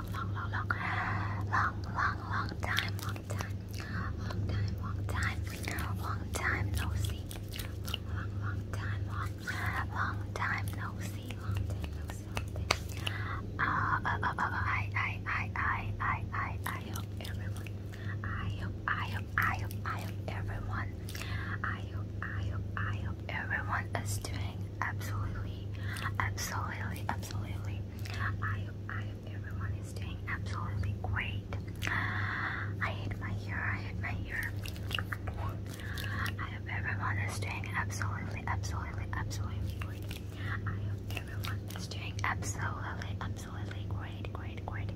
long, long, long, long, long, long, long time, long time, long time, long time, long time no see, long, long, long time, long, long time no see, long time no see. Uh, uh, uh, uh, I, I, I, I, I, I, I hope everyone. I hope, I hope, I hope, I hope everyone. I hope, I hope, I hope everyone is doing absolutely, absolutely, absolutely. I I hope everyone is doing absolutely great. I hate my hair, I hate my hair. I hope everyone is doing absolutely, absolutely, absolutely great. I hope everyone is doing absolutely, absolutely great, great, great.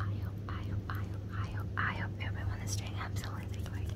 I hope, I hope, I hope, I hope, everyone is doing absolutely great.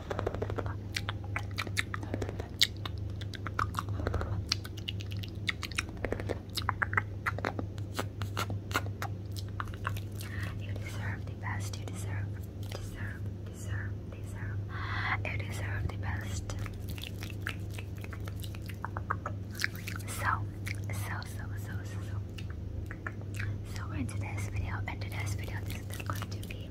you deserve the best. You deserve, deserve, deserve, deserve. You deserve the best. So, so, so, so, so, so in today's video, in today's video, this is going to be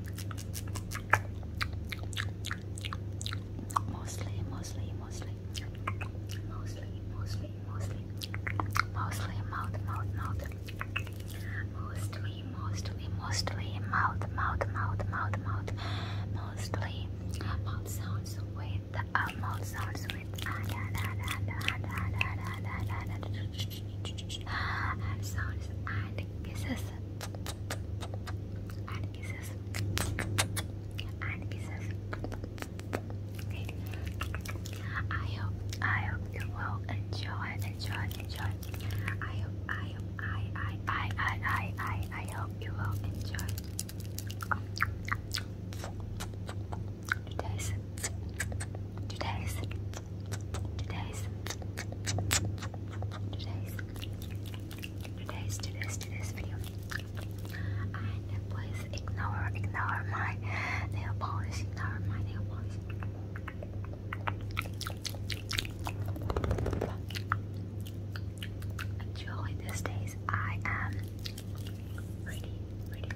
mostly, mostly, mostly, mostly, mostly, mostly, mostly mouth, mouth, mouth, mostly, mostly, mostly mouth, mouth, mouth, mouth, mouth, mostly mouth sounds with uh, mouth sounds with. Uh, da, da, da, da, da, da, da, da, da, da, da, and sounds and kisses and kisses and kisses. Great. I hope I hope you will enjoy enjoy enjoy. I hope I hope I I I I I I I hope you will enjoy today's today's today's, today's, today's, today's, today's video. And please ignore, ignore my nail polish, ignore my nail polish. Actually, these days I am really, really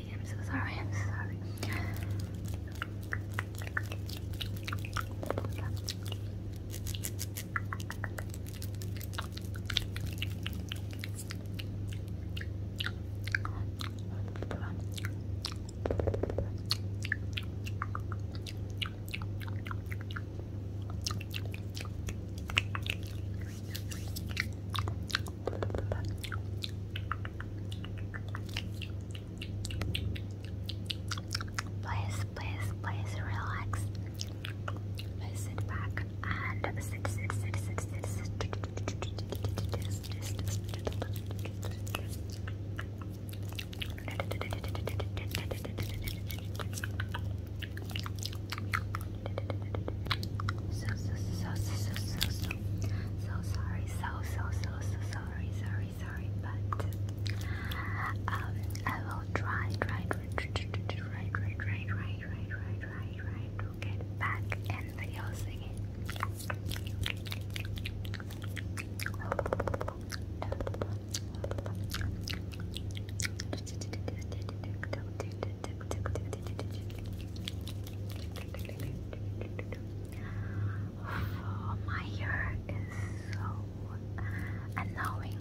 I'm so sorry. I'm so sorry. Please, please, please relax. Please sit back and sit, sit, sit, sit, sit, sit. So so so so so so so so sorry, so so so so sorry, sorry, sorry, but um I will try, try, try, try, try, try, try, try, try, try, try to get back in video singing. Oh, my hair is so annoying.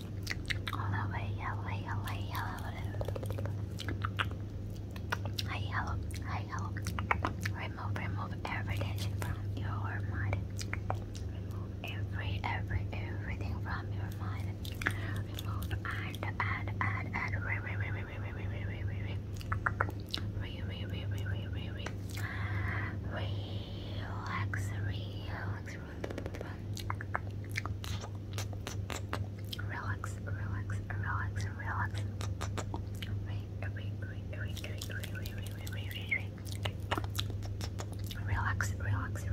Hello, hey, hello, hey, hello, hello. Hey, hello, hey, hello. Remove, remove every from your mind. Remove every, every, everything from your mind. Remove and, and, and, and, relax, relax, Relax, relax, relax, relax. Relax, relax, relax, relax. Relax, relax,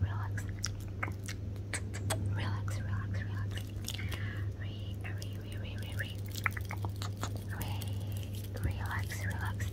relax. Relax, relax, relax. Re, re, re, re, re, re. Re, relax, relax.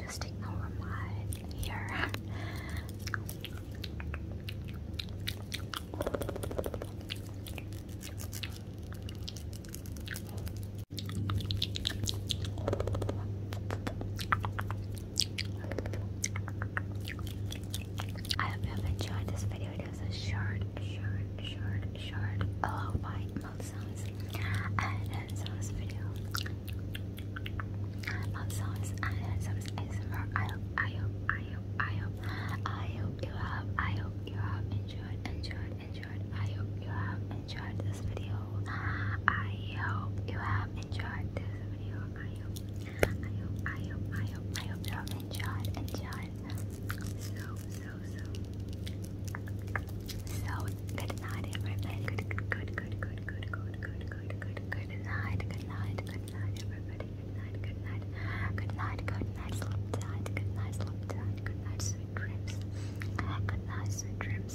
Just ignore my hair. I hope you enjoyed this video. It was a short, short, short, short oh by mouth sounds and hand sounds and hand sounds I hope, I hope, I hope, I hope, I hope you have, I hope you have enjoyed, enjoyed, enjoyed. I hope you have enjoyed this video. I hope you have enjoyed this video. I hope, I hope, I hope, I hope, you have enjoyed, enjoyed. So, so, so. So, good night, everybody. Good, good, good, good, good, good, good, good, good, good, night, good night, good night, everybody. Good night, good night, good night, good night, sleep tight, good night, sleep tight, good night, sweet dreams. Good night, sweet dreams